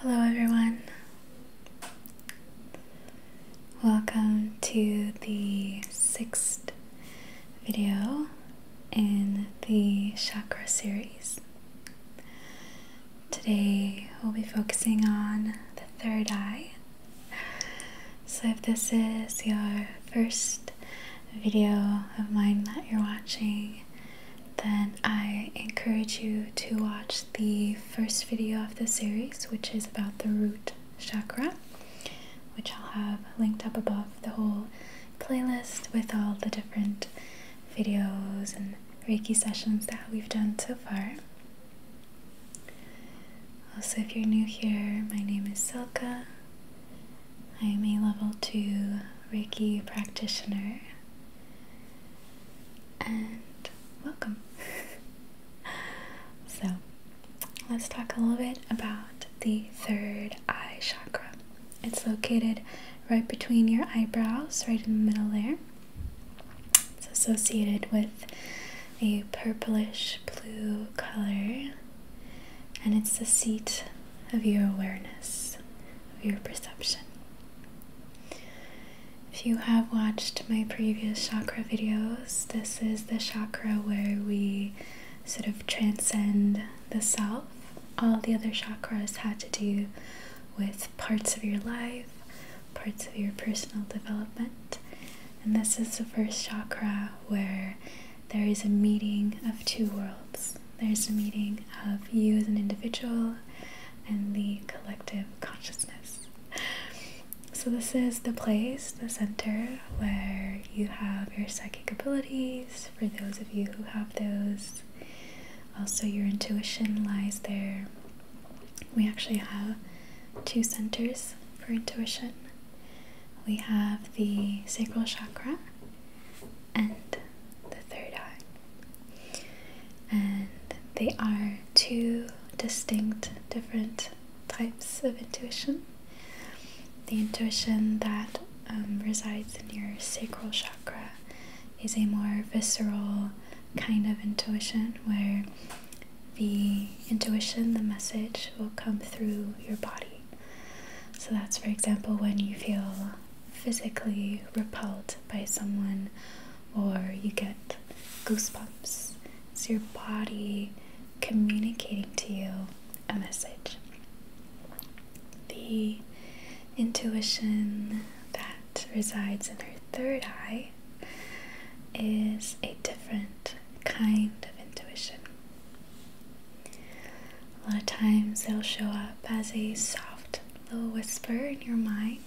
Hello, everyone. Welcome to the sixth video in the chakra series. Today, we'll be focusing on the third eye. So, if this is your first video of mine that you're watching, then I encourage you to watch the first video of the series, which is about the root chakra, which I'll have linked up above the whole playlist with all the different videos and Reiki sessions that we've done so far. Also, if you're new here, my name is Silka. I am a level 2 Reiki practitioner and welcome. so, let's talk a little bit about the third eye chakra. It's located right between your eyebrows, right in the middle there. It's associated with a purplish blue color, and it's the seat of your awareness your perception. If you have watched my previous chakra videos, this is the chakra where we sort of transcend the self. All the other chakras had to do with parts of your life, parts of your personal development. And this is the first chakra where there is a meeting of two worlds. There's a meeting of you as an individual and the collective consciousness. So, this is the place, the center where you have your psychic abilities for those of you who have those. Also, your intuition lies there. We actually have two centers for intuition we have the sacral chakra, and the third eye. And they are two distinct, different types of intuition. The intuition that um, resides in your sacral chakra is a more visceral kind of intuition where the intuition, the message, will come through your body. So that's, for example, when you feel physically repelled by someone or you get goosebumps. It's your body communicating to you a message. The intuition that resides in her third eye is a different kind of intuition. A lot of times they'll show up as a soft little whisper in your mind.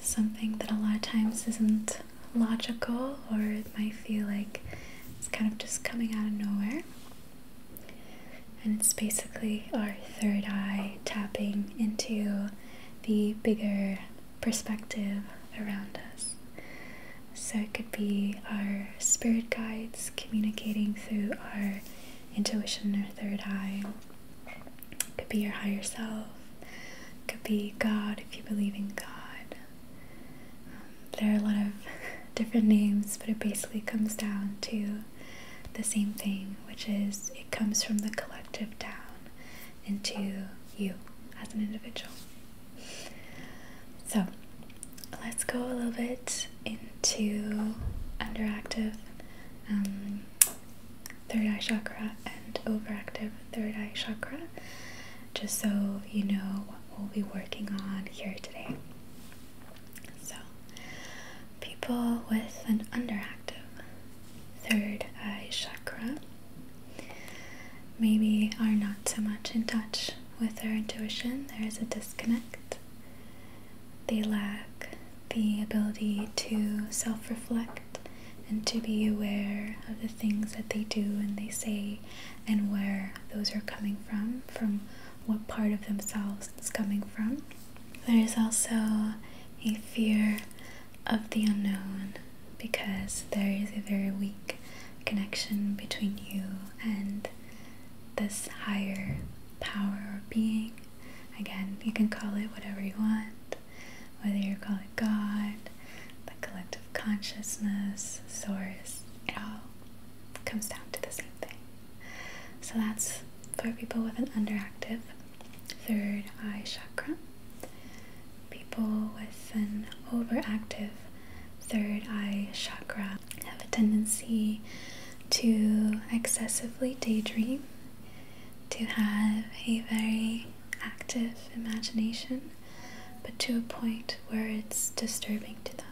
Something that a lot of times isn't logical or it might feel like it's kind of just coming out of nowhere. And it's basically our third eye tapping into the bigger perspective around us. So it could be our spirit guides communicating through our intuition or third eye. could be your higher self. could be God if you believe in God. Um, there are a lot of different names, but it basically comes down to the same thing, which is it comes from the collective down into you as an individual. So let's go a little bit into underactive um, third eye chakra and overactive third eye chakra, just so you know what we'll be working on here today. So, people with an underactive third eye chakra maybe are not so much in touch with their intuition, there is a disconnect. They lack the ability to self reflect and to be aware of the things that they do and they say and where those are coming from, from what part of themselves it's coming from. There is also a fear of the unknown because there is a very weak connection between you and this higher power or being Again, you can call it whatever you want, whether you call it God, the collective consciousness, source, it all comes down to the same thing. So that's for people with an underactive third eye chakra. People with an overactive third eye chakra have a tendency to excessively daydream, to have a very active imagination, but to a point where it's disturbing to them.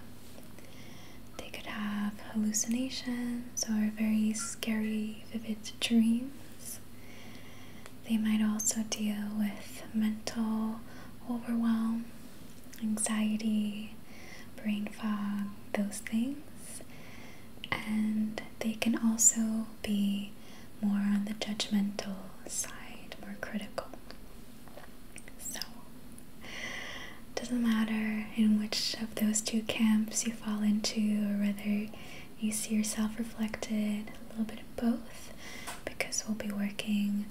They could have hallucinations or very scary, vivid dreams. They might also deal with mental overwhelm, anxiety, brain fog, those things and they can also be more on the judgmental side, more critical. So, doesn't matter in which of those two camps you fall into, or whether you see yourself reflected a little bit of both, because we'll be working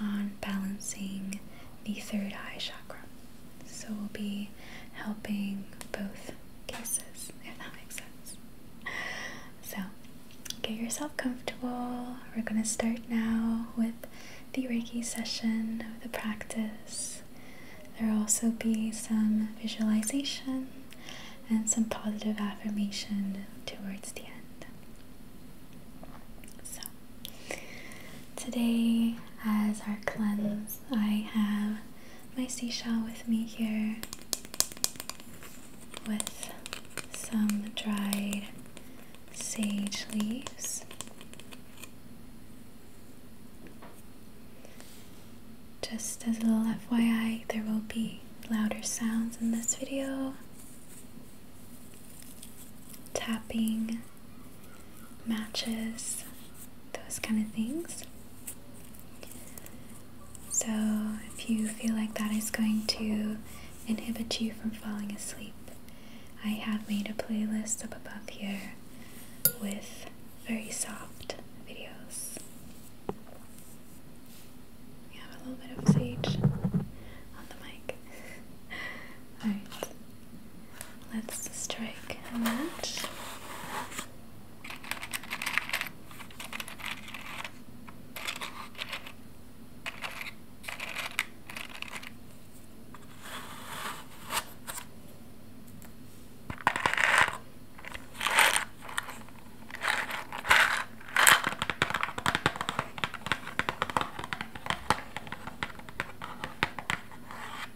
on balancing the third eye chakra. So we'll be helping both cases, if that makes sense. So get yourself comfortable. We're going to start now with the Reiki session of the practice. There will also be some visualization and some positive affirmation towards the end. So, today, as our cleanse, I have my seashell with me here with some dried sage leaves. Just as a little FYI, there will be louder sounds in this video. Tapping matches, those kind of things. So, if you feel like that is going to inhibit you from falling asleep, I have made a playlist up above here with very soft videos. We have a little bit of sage on the mic. Alright, Let's strike a match.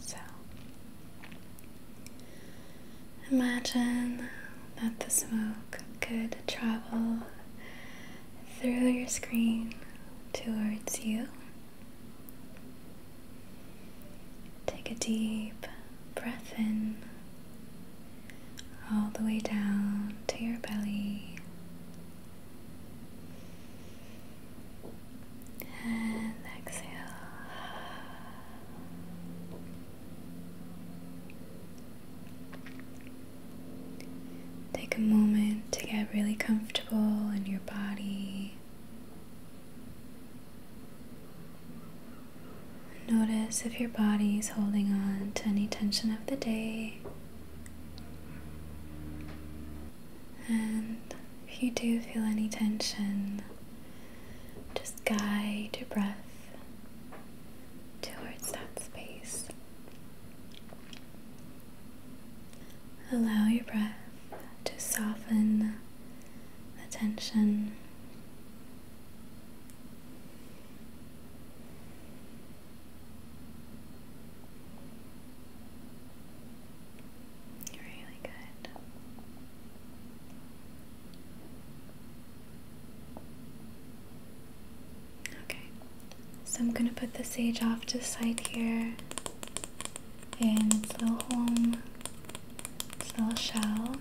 So imagine that the smoke could travel through your screen towards you. Take a deep breath in, all the way down to your belly, and exhale. Take a moment to get really comfortable in your body. Notice if your body is holding on to any tension of the day. And if you do feel any tension, just guide your breath towards that space. Allow your breath to soften the tension Really good. Okay, so I'm gonna put the sage off to the side here in its little home, its little shell.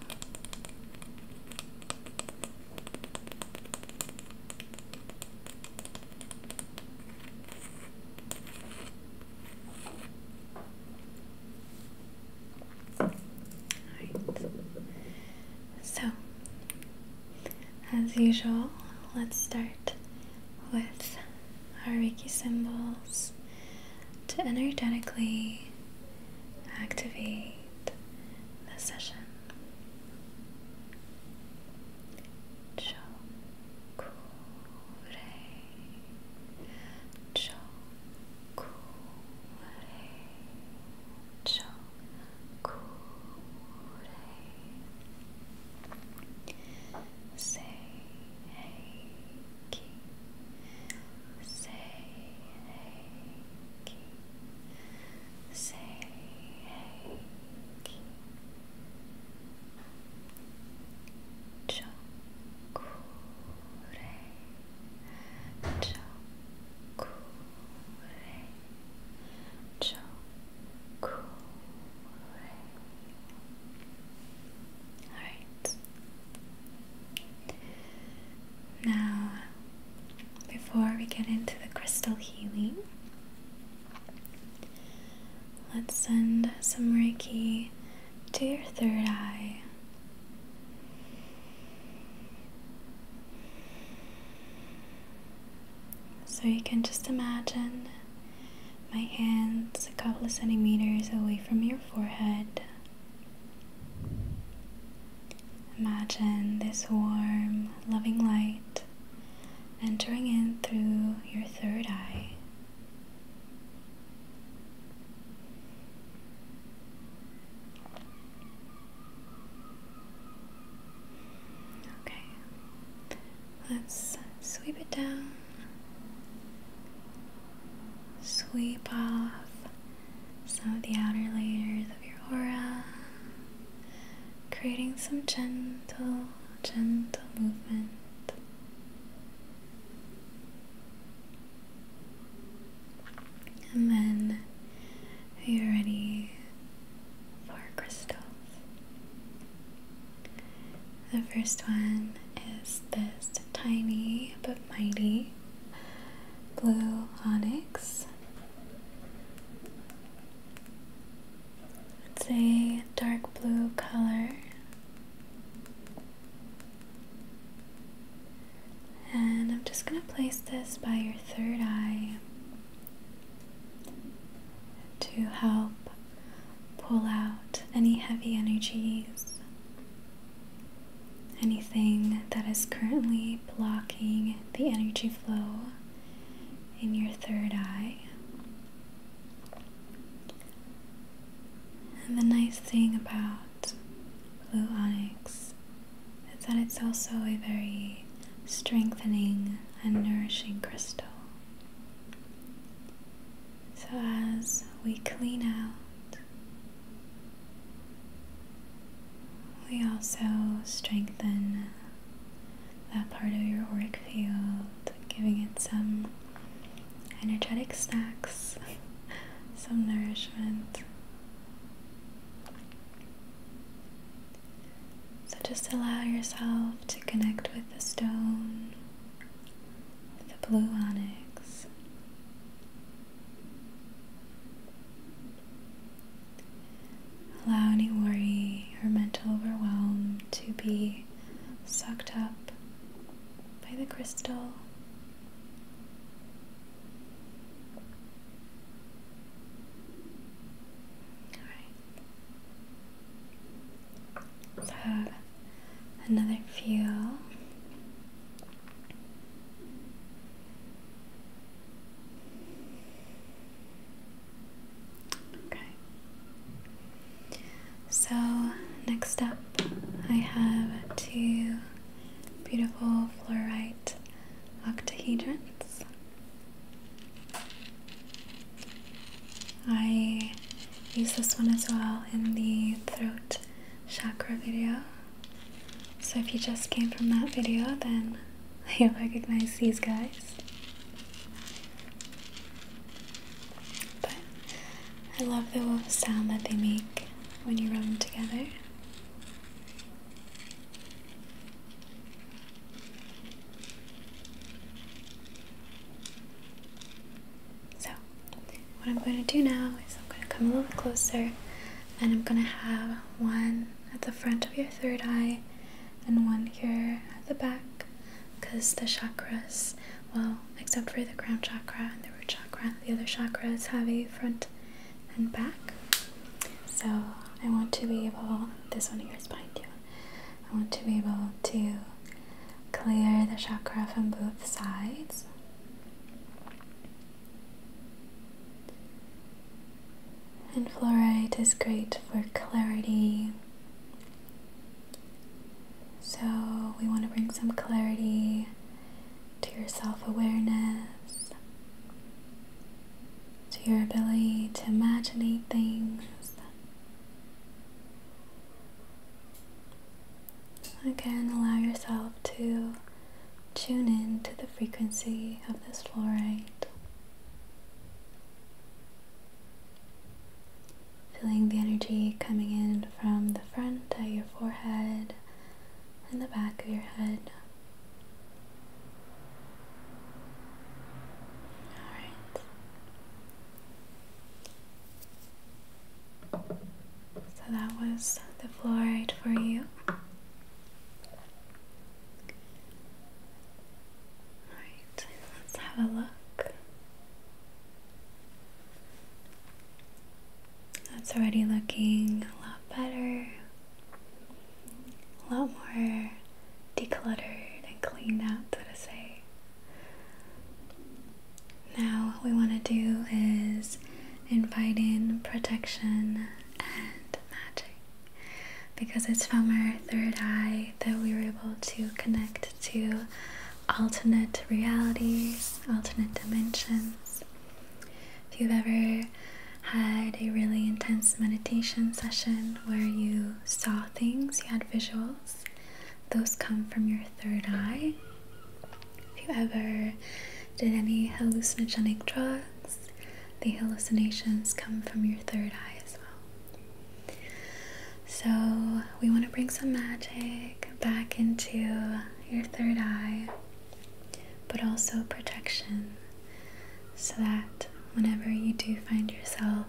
So, as usual, let's start with our Reiki symbols to energetically activate the session. Chokure, chokure, chokure. Say hey, Say hey, say hey, chokure, chokure, chokure. All right. Now before we get into the crystal healing, let's send some Reiki to your third eye. So you can just imagine my hands a couple of centimeters away from your forehead. Imagine this warm, loving light entering in through your third eye. Okay, let's sweep it down, sweep off some of the outer layers of your aura, creating some gentle, gentle movement. And then you're ready for crystals. The first one is this tiny but mighty blue onyx. It's a dark blue color. And I'm just going to place this by your third eye to help pull out any heavy energies anything that is currently blocking the energy flow in your third eye. And the nice thing about blue onyx is that it's also a very strengthening and nourishing crystal. So, as we clean out we also strengthen that part of your auric field, giving it some energetic snacks, some nourishment. So just allow yourself to connect with the stone, with the blue onyx. Allow any worry or mental overwhelm to be sucked up by the crystal. All right. another feel. Okay. So, next up, I have two beautiful fluorite octahedrons. I use this one as well in the throat chakra video, so if you just came from that video, then you recognize these guys. But I love the wolf sound that they make when you run together. So, what I'm going to do now is I'm going to come a little closer and I'm going to have one at the front of your third eye and one here at the back because the chakras, well, except for the crown chakra and the root chakra, the other chakras have a front and back. So I want to be able, this one here is behind you, I want to be able to clear the chakra from both sides. And fluorite is great for clarity. So, we want to bring some clarity to your self awareness, to your ability to imagine things. Again, allow yourself to tune in to the frequency of this fluorite. Feeling the energy coming in from the front of your forehead and the back of your head. Alright. So that was the fluoride for you. Alright, let's have a look. That's already looking a lot better, a lot more decluttered and cleaned out, so to say. Now, what we want to do is invite in protection and magic because it's from our third eye that we were able to connect to alternate realities, alternate dimensions. If you've ever had a really intense meditation session where you saw things, you had visuals, those come from your third eye. If you ever did any hallucinogenic drugs, the hallucinations come from your third eye as well. So, we want to bring some magic back into your third eye, but also protection so that whenever you do find yourself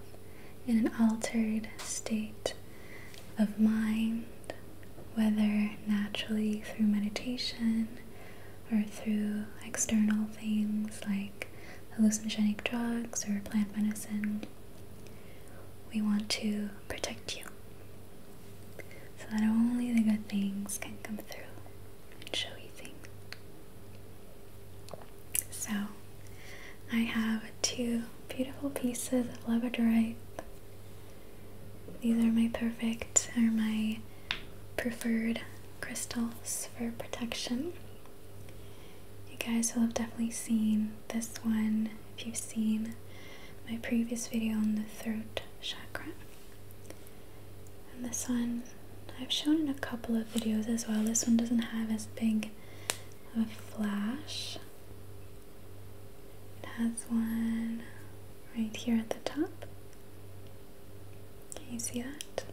in an altered state of mind whether naturally through meditation or through external things like hallucinogenic drugs or plant medicine. We want to protect you so that only the good things can come through and show you things. So, I have two beautiful pieces of labradorite these are my perfect, or my preferred crystals for protection. You guys will have definitely seen this one if you've seen my previous video on the throat chakra. And this one I've shown in a couple of videos as well. This one doesn't have as big of a flash. It has one right here at the top. Can you see that?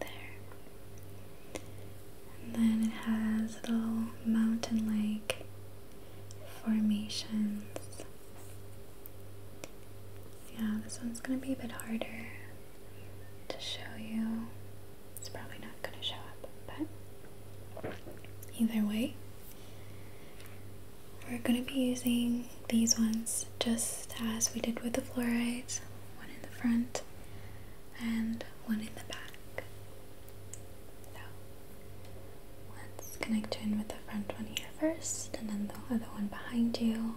There. And then it has little mountain like formations. Yeah, this one's gonna be a bit harder to show you. It's probably not going to show up, but either way, we're going to be using these ones just as we did with the fluorides one in the front and one in the back. So let's connect you in with the front one here first, and then the other one behind you.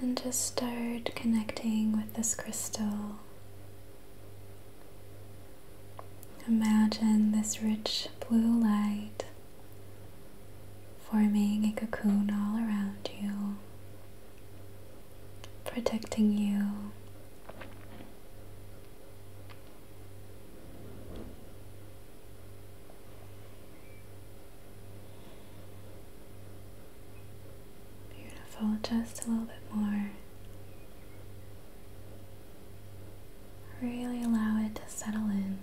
And just start connecting with this crystal. Imagine this rich blue light forming a cocoon all around you, protecting you. Beautiful, just a little bit more. Really allow it to settle in.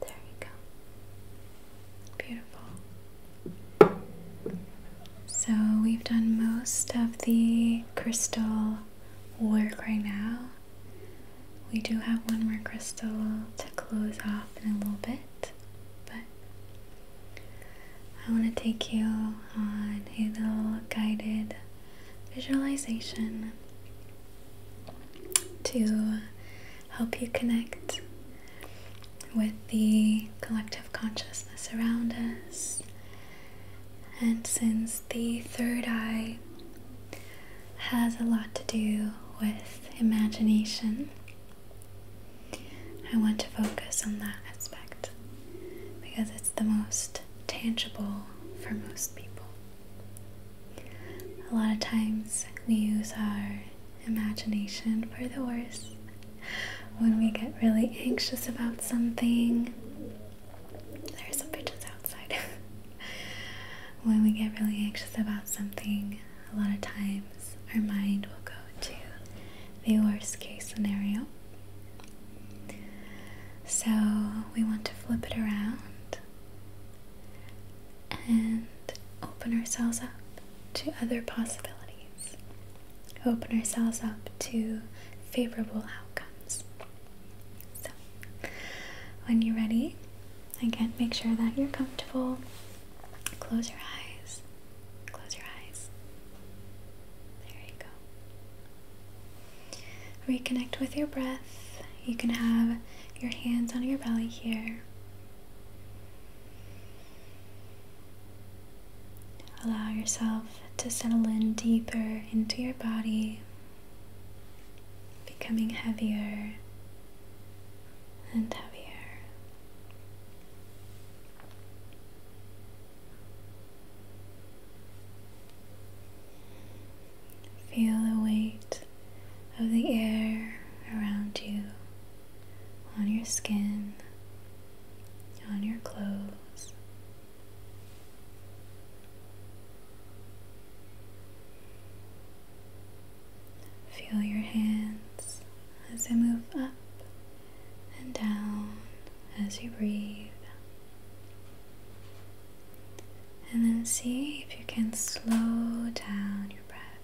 There you go. Beautiful. So we've done most of the crystal work right now. We do have one more crystal to close off in a little bit, but I want to take you on a little guided visualization to help you connect with the collective consciousness around us. And since the third eye has a lot to do with imagination, I want to focus on that aspect because it's the most tangible for most people. A lot of times we use our imagination for the worse when we get really anxious about something. There are some pigeons outside. when we get really anxious about something, a lot of times our mind will go to the worst case scenario. So we want to flip it around and open ourselves up to other possibilities open ourselves up to favorable outcomes. So, when you're ready, again, make sure that you're comfortable. Close your eyes. Close your eyes. There you go. Reconnect with your breath. You can have your hands on your belly here. Allow yourself to settle in deeper into your body, becoming heavier and heavier. Feel the weight of the air around you, on your skin, on your clothes, Feel your hands as they move up and down as you breathe. And then see if you can slow down your breath,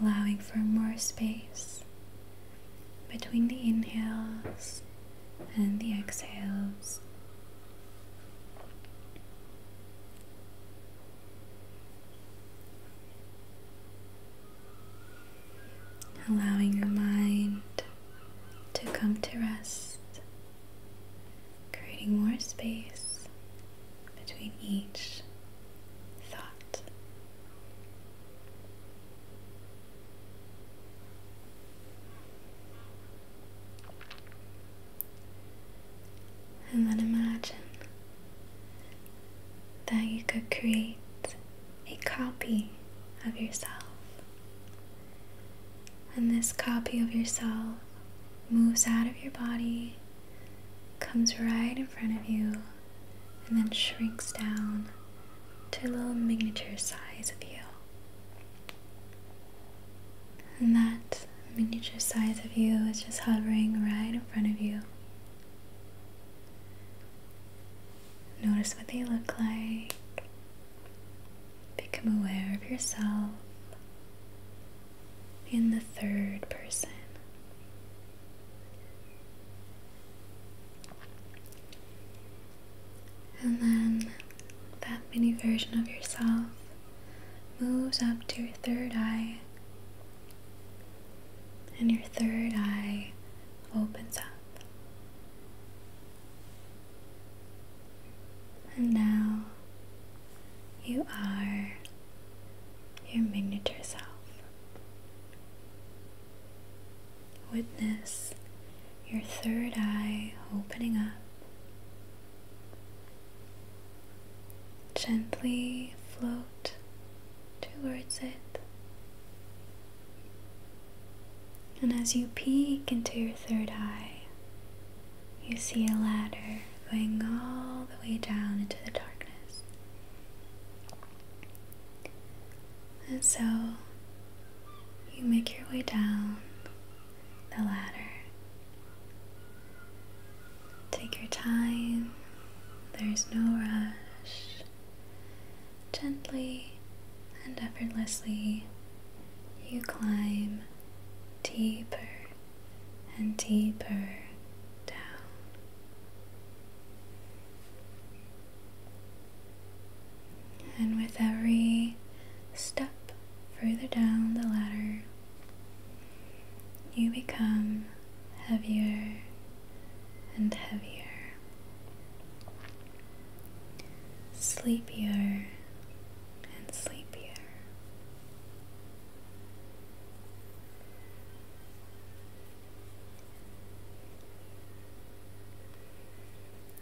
allowing for more space between the inhales and the exhales. Allowing your mind to come to rest, creating more space between each thought. And then imagine that you could create a copy of yourself. And this copy of yourself moves out of your body, comes right in front of you, and then shrinks down to a little miniature size of you. And that miniature size of you is just hovering right in front of you. Notice what they look like. Become aware of yourself in the third person. And then that mini version of yourself moves up to your third eye, and your third eye opens up. And now you are your miniature self. Witness your third eye opening up. Gently float towards it. And as you peek into your third eye, you see a ladder going all the way down into the darkness. And so you make your way down the ladder. Take your time, there's no rush. Gently and effortlessly, you climb deeper and deeper down. And with every step further down the ladder, you become heavier and heavier, sleepier and sleepier.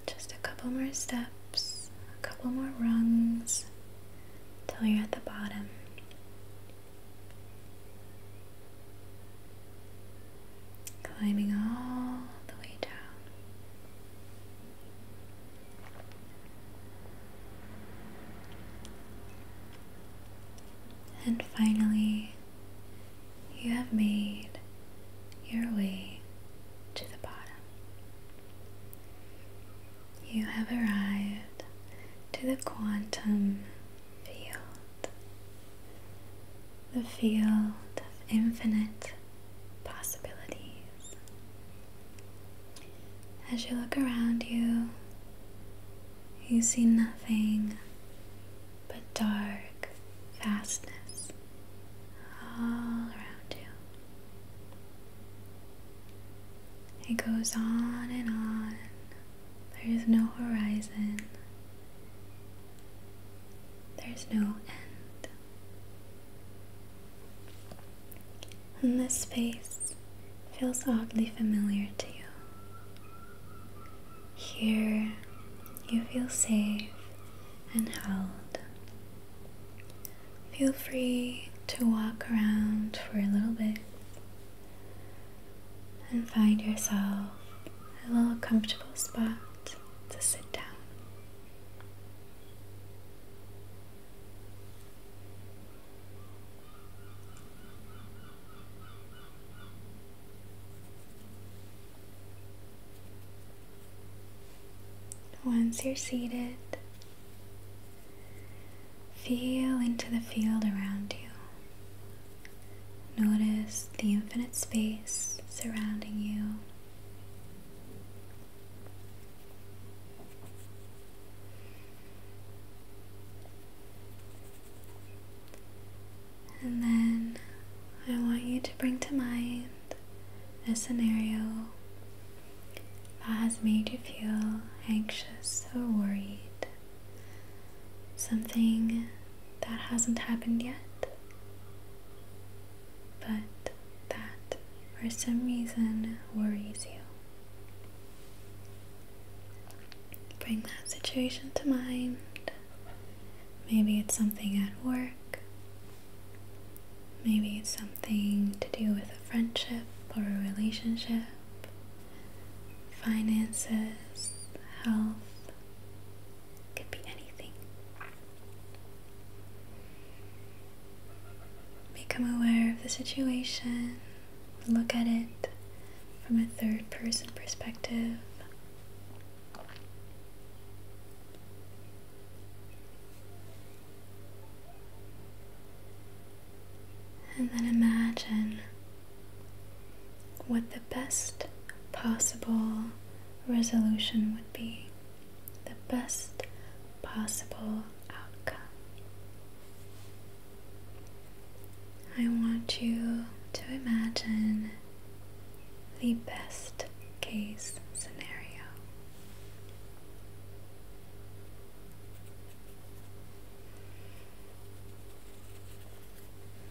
Just a couple more steps, a couple more rungs till you're at the bottom. Climbing all the way down. And finally, you have made your way to the bottom. You have arrived to the quantum field, the field of infinite possibilities. As you look around you, you see nothing but dark vastness all around you. It goes on and on. There is no horizon. There's no end. And this space feels oddly familiar to you. Here you feel safe and held. Feel free to walk around for a little bit and find yourself a little comfortable spot to sit down. Once you're seated, feel into the field around you. Notice the infinite space surrounding you. And then I want you to bring to mind a scenario that has made you feel anxious or worried, something that hasn't happened yet, but that for some reason worries you. Bring that situation to mind. Maybe it's something at work. Maybe it's something to do with a friendship or a relationship, finances, health. Could be anything. Become aware of the situation look at it from a third person perspective. And then imagine what the best possible resolution would be, the best possible outcome. I want you to imagine the best case scenario.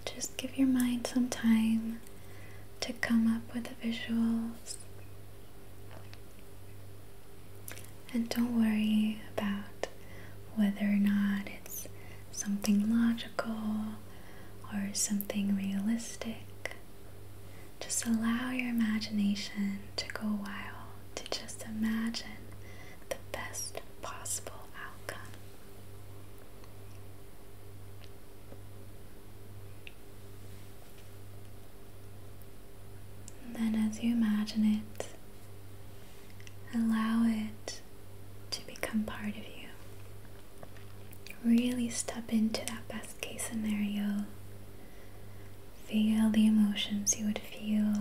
Just give your mind some time to come up with the visuals. And don't worry about whether or not it's something logical or something realistic. Just allow your imagination to go wild, to just imagine the best possible outcome. then, as you imagine it, Allow it to become part of you. Really step into that best case scenario. Feel the emotions you would feel.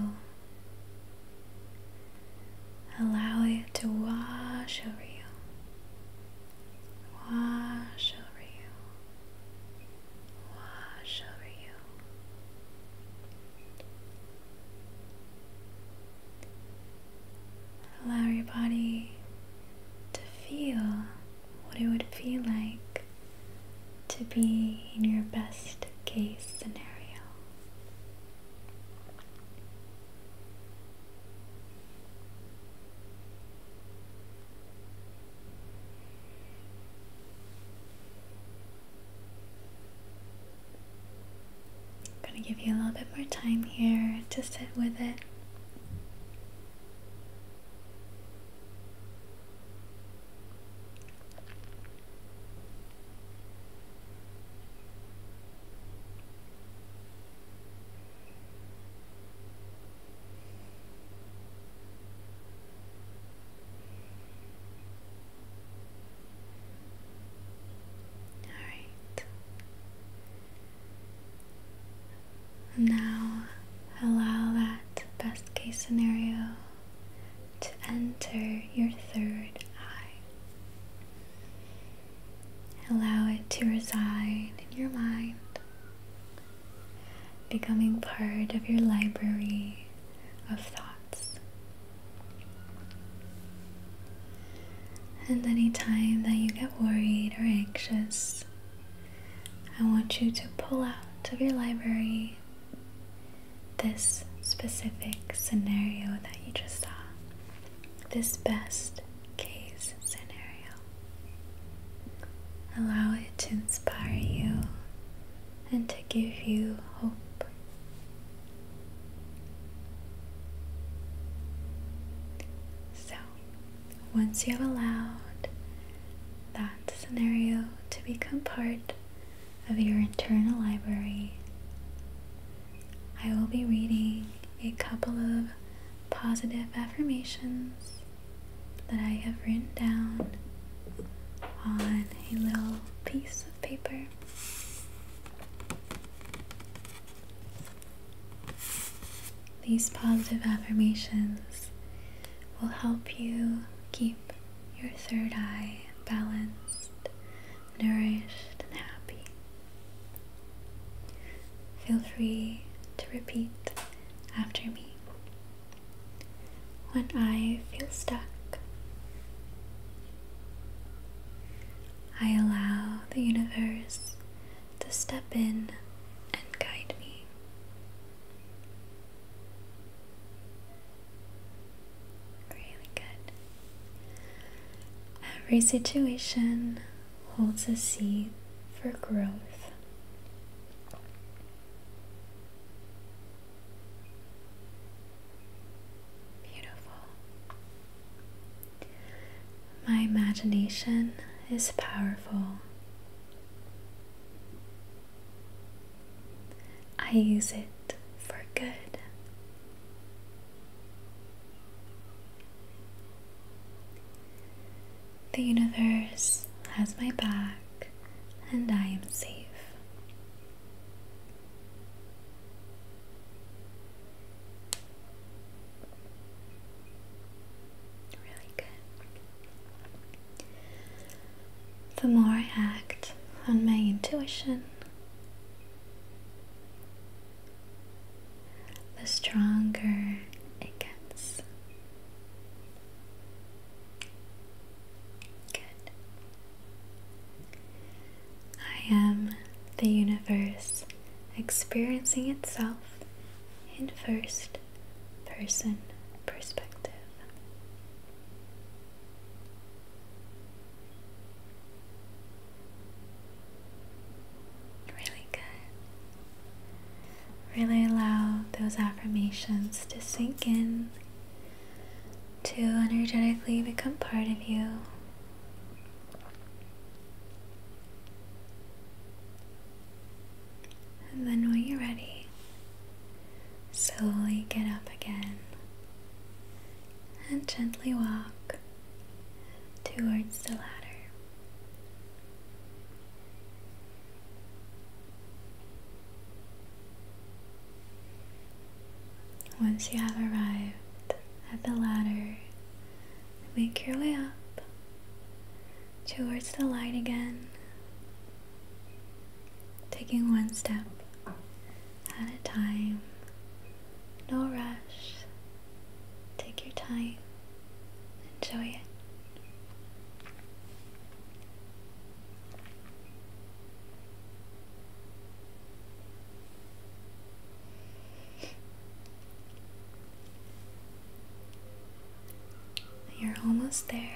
Allow it to wash over you. Wash over you. Wash over you. Allow your body to feel what it would feel like to be in your best case scenario. I'm gonna give you a little bit more time here to sit with it. Now allow that best case scenario to enter your third eye. Allow it to reside in your mind, becoming part of your library of thoughts and anytime that you get worried or anxious, I want you to pull out of your library this specific scenario that you just saw, this best case scenario. Allow it to inspire you and to give you hope so, once you have allowed that scenario to become part of your internal library, I will be reading a couple of positive affirmations that I have written down on a little piece paper. These positive affirmations will help you keep your third eye balanced, nourished, and happy. Feel free to repeat after me. When I feel stuck, I allow the universe to step in and guide me. Really good. Every situation holds a seed for growth. Beautiful. My imagination is powerful. I use it for good. The universe has my back, and I am safe. The more I act on my intuition, the stronger it gets. Good. I am the universe experiencing itself in first person perspective. Really good. Really allow those affirmations to sink in to energetically become part of you. And then when you're ready, slowly get up again and gently walk towards the ladder. Once you have arrived at the ladder, make your way up towards the light again, taking one step at a time. No rush. Take your time. Enjoy it. You're almost there.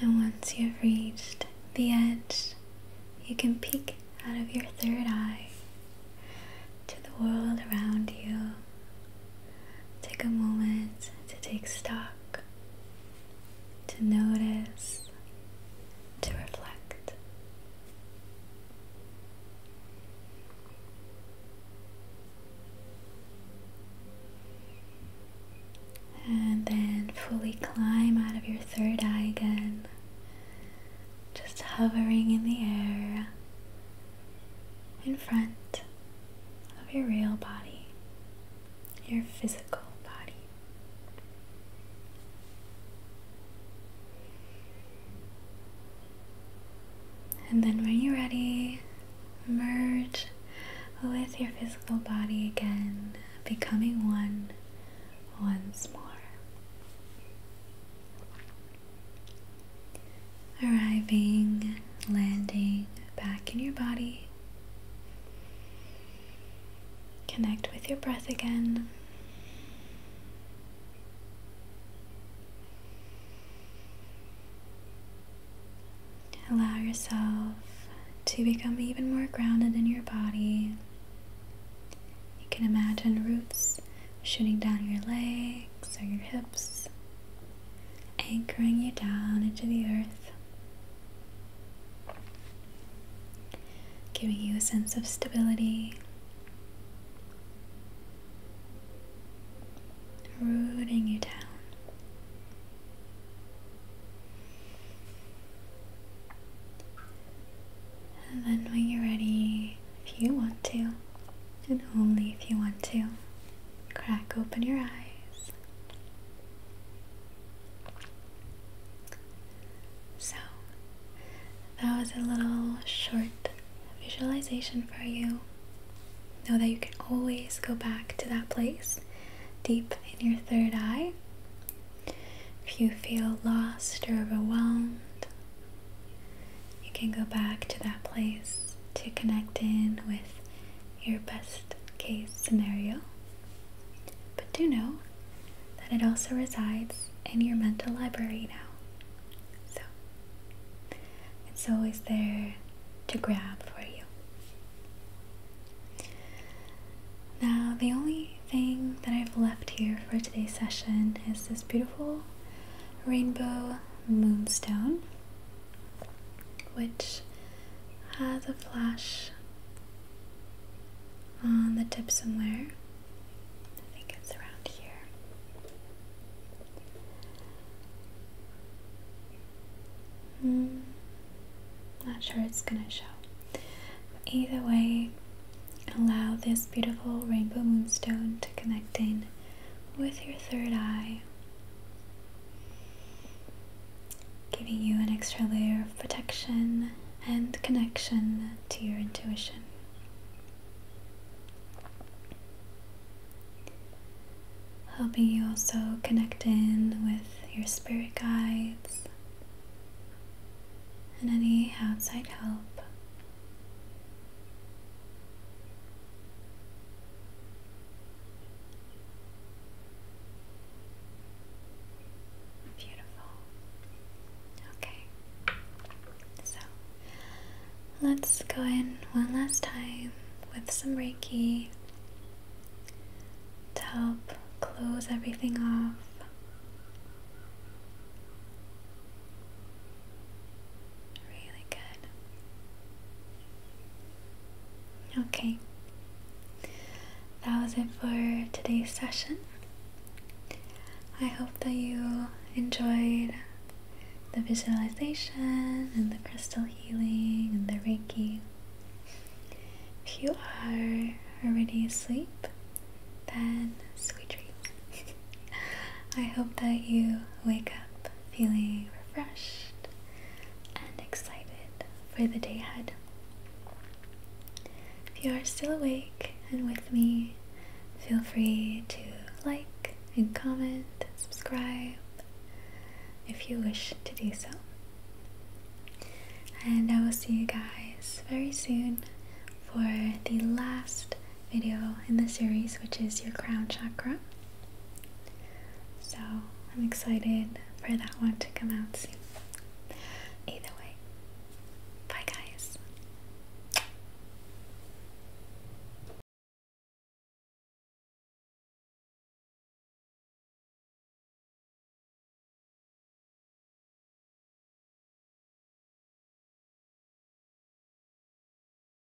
And once you've reached the end, you can peek out of your third eye to the world around you. Take a moment to take stock, to notice, to reflect. And then fully climb out of your third eye again, just hovering in the air in front of your real body, your physical body. And then, when you're ready, merge with your physical body again, becoming one once more arriving, landing back in your body. Connect with your breath again. Allow yourself to become even more grounded in your body. You can imagine roots shooting down your legs or your hips anchoring you down into the earth, giving you a sense of stability, rooting you down. And then, when you're ready, if you want to, and only if you want to crack open your eyes. So, that was a little short visualization for you. Know that you can always go back to that place deep in your third eye. If you feel lost or overwhelmed, you can go back to that place to connect in with your best case scenario. But do know that it also resides in your mental library now. So it's always there to grab for you. Now, the only thing that I've left here for today's session is this beautiful rainbow moonstone which has a flash on the tip somewhere. I think it's around here. Hmm, not sure it's gonna show. either way, allow this beautiful rainbow moonstone to connect in with your third eye giving you an extra layer of protection and connection to your intuition. Helping you also connect in with your spirit guides and any outside help. Beautiful. Okay. So let's go in one last time with some Reiki to help close everything off. Really good. Okay. That was it for today's session. I hope that you enjoyed the visualization and the crystal healing and the Reiki. If you are already asleep, then sweet dreams. I hope that you wake up feeling refreshed and excited for the day ahead. If you are still awake and with me, feel free to like and comment subscribe if you wish to do so. And I will see you guys very soon for the last video in the series, which is your crown chakra. So I'm excited for that one to come out soon. Either way, bye guys.